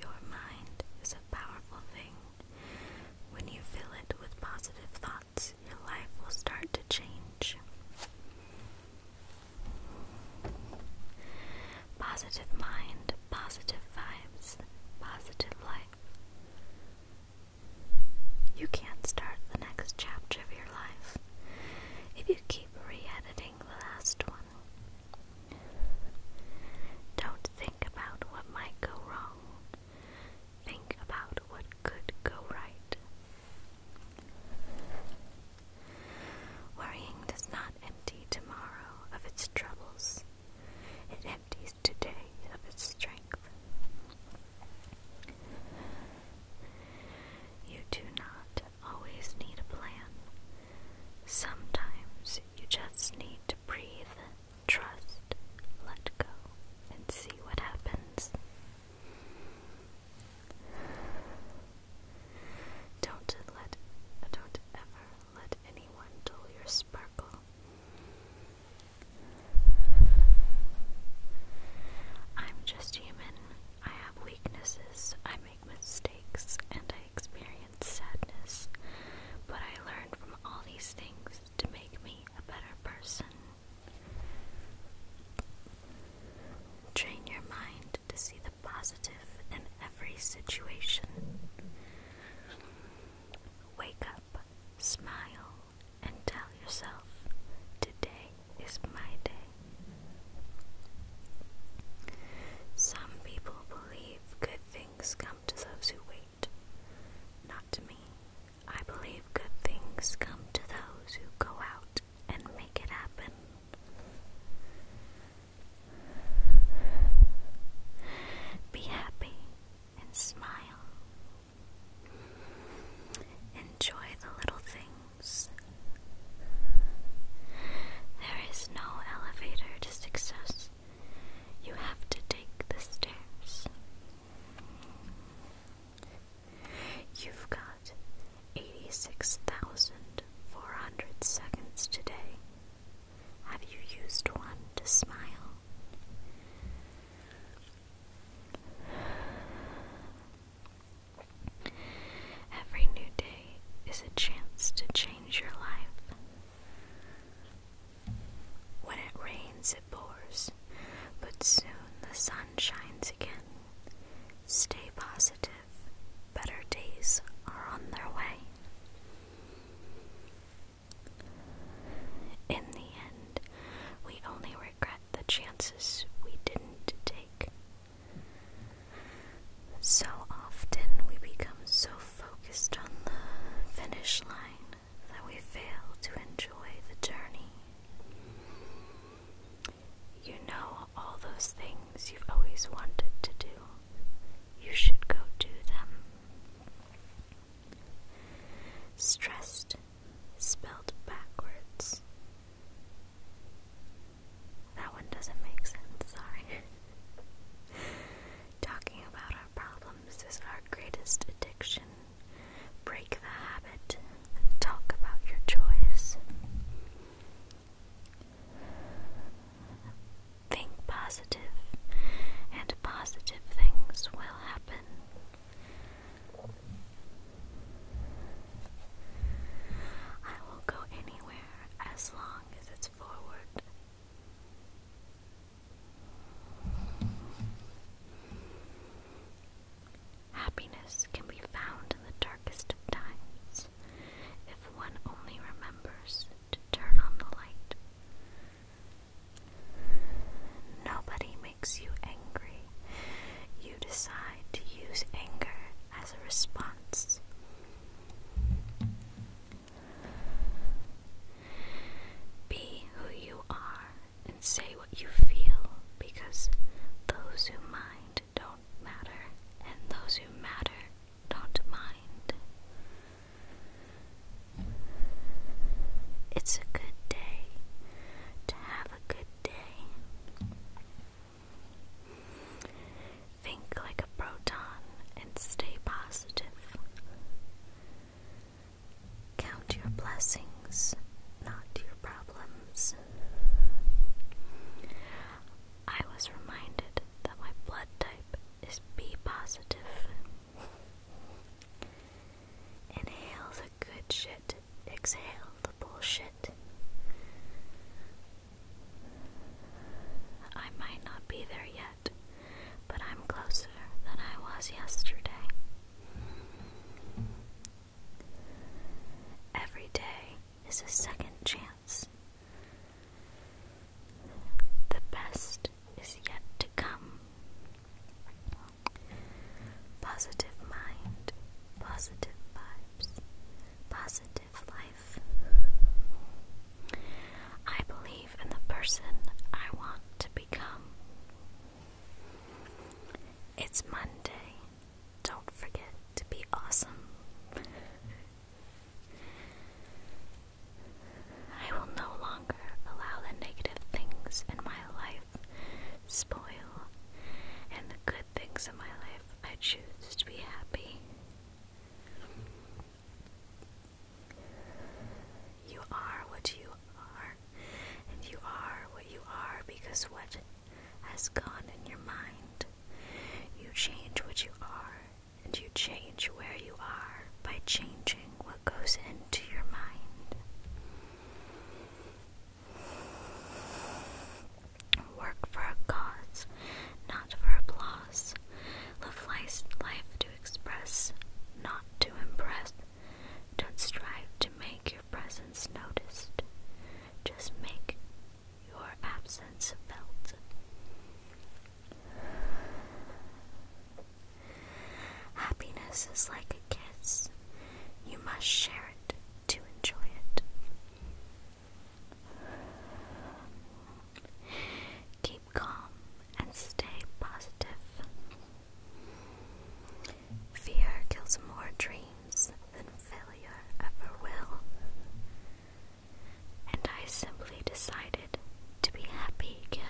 Your mind is a powerful thing. When you fill it with positive thoughts, your life will start to change. Positive mind, positive vibes, positive life. You can't start the next chapter of your life if you keep re editing the last one. Don't think about what might go wrong. Think about what could go right. Worrying does not empty tomorrow of its troubles, it empties today of its strength. You do not always need a plan. Sometimes you just need to breathe, trust, let go, and see what happens. Don't let don't ever let anyone dull your sparkle. I'm just human. I have weaknesses. I make mistakes and I experience sadness, but I learned from all these things to make me a better person. Train your mind to see the positive in every situation. Wake up, smile, and tell yourself, Today is my day. Some people believe good things come to those who wait. Not to me. I believe good things come to those who go out and make it happen. Be happy and smile. Enjoy the little things. There is no elevator to success. You have to take the stairs. You've got 86,400 seconds today. Have you used one to smile? Every new day is a chance to change your life. When it rains, it pours, but soon the sun shines again. Stay positive, better days are on their way. In the end, we only regret the chances we didn't take. So often we become so focused on the finish line that we fail to enjoy the journey. You know all those things you've always wanted to do. You should go do them. Stressed, spelled backwards, that one doesn't make sense, sorry. Talking about our problems is our greatest addiction. Break the habit talk about your choice. Think positive, and positive things will happen. I will go anywhere as long as it's forward. Happiness can be found in the darkest of times if one only remembers to turn on the light. Nobody makes you angry decide to use anger as a response. Be who you are and say what you feel because those who mind don't matter and those who matter don't mind. It's a good day to have a good day. Think like a proton and stay positive. Count your blessings, not your problems. I was reminded that my blood type is B positive. Inhale the good shit, exhale the bullshit. I might not be there yet, but I'm closer than I was yesterday. Every day is a second chance. The best is yet to come. Positive mind, positive body positive life. I believe in the person I want to become. It's Monday. Don't forget to be awesome. I will no longer allow the negative things in my life spoil, and the good things in my life, I choose to be happy. You are what you are, and you are what you are because what has gone in your mind. You change what you are, and you change where you are by changing what goes into your mind. Work for a cause, not for applause. Live life's life to express, not to impress. Don't strive to make your presence noticed. Just make your absence felt. Happiness is like kiss, you must share it to enjoy it. Keep calm and stay positive. Fear kills more dreams than failure ever will. And I simply decided to be happy again.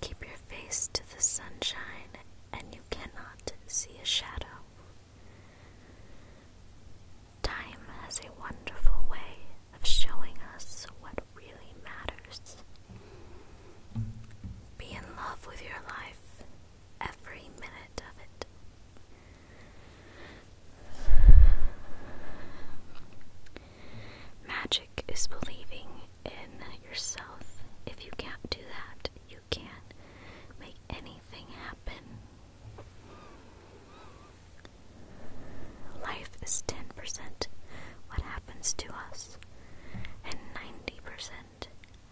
Keep your face to the sunshine, and you cannot see a shadow. Time has a wonderful way of showing us what really matters. Be in love with your life, every minute of it. Magic is believing in yourself. If you can't do that, you can't make anything happen. Life is 10% what happens to us and 90%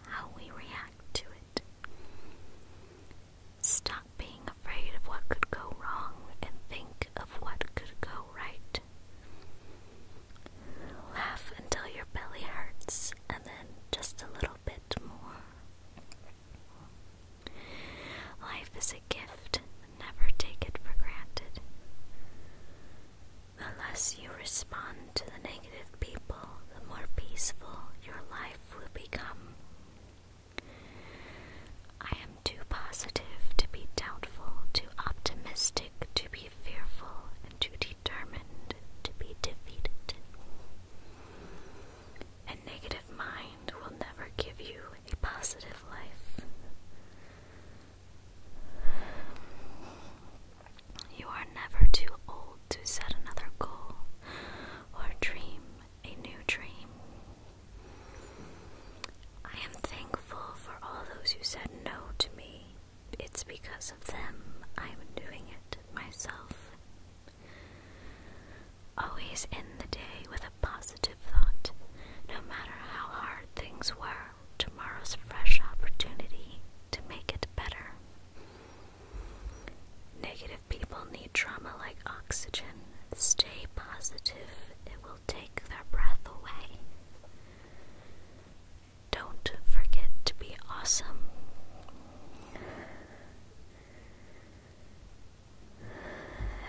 how we react to it. Stop being afraid of what could go wrong and think of what could go right. Laugh until your belly hurts, and then just a little bit more. Life is a gift, never take it for granted. The less you respond to the negative people, the more peaceful your life will become. I am too positive to be doubtful, too optimistic to be fearful, and too determined to be defeated. A negative mind will never give you a positive life. You are never too old to set another goal or dream a new dream. I am thankful for all those who said no to me. It's because of them I am doing it myself. Always end the day with a positive thought, no matter how hard things were. Tomorrow's fresh opportunity to make it better. Negative people need trauma like oxygen. Stay positive, it will take their breath away. Don't forget to be awesome.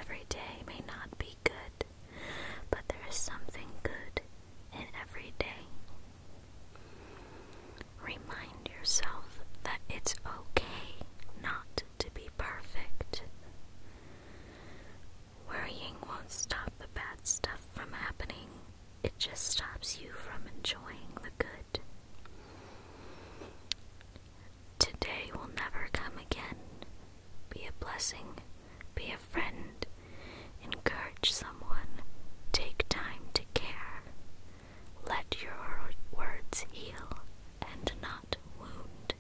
Every day may not be good, but there is something good in every day. Remind yourself that it's okay not to be perfect. Worrying won't stop the bad stuff from happening, it just stops you from enjoying the good. Today will never come again. Be a blessing, be a friend, encourage someone, take time to care. Let your words heal and not wound.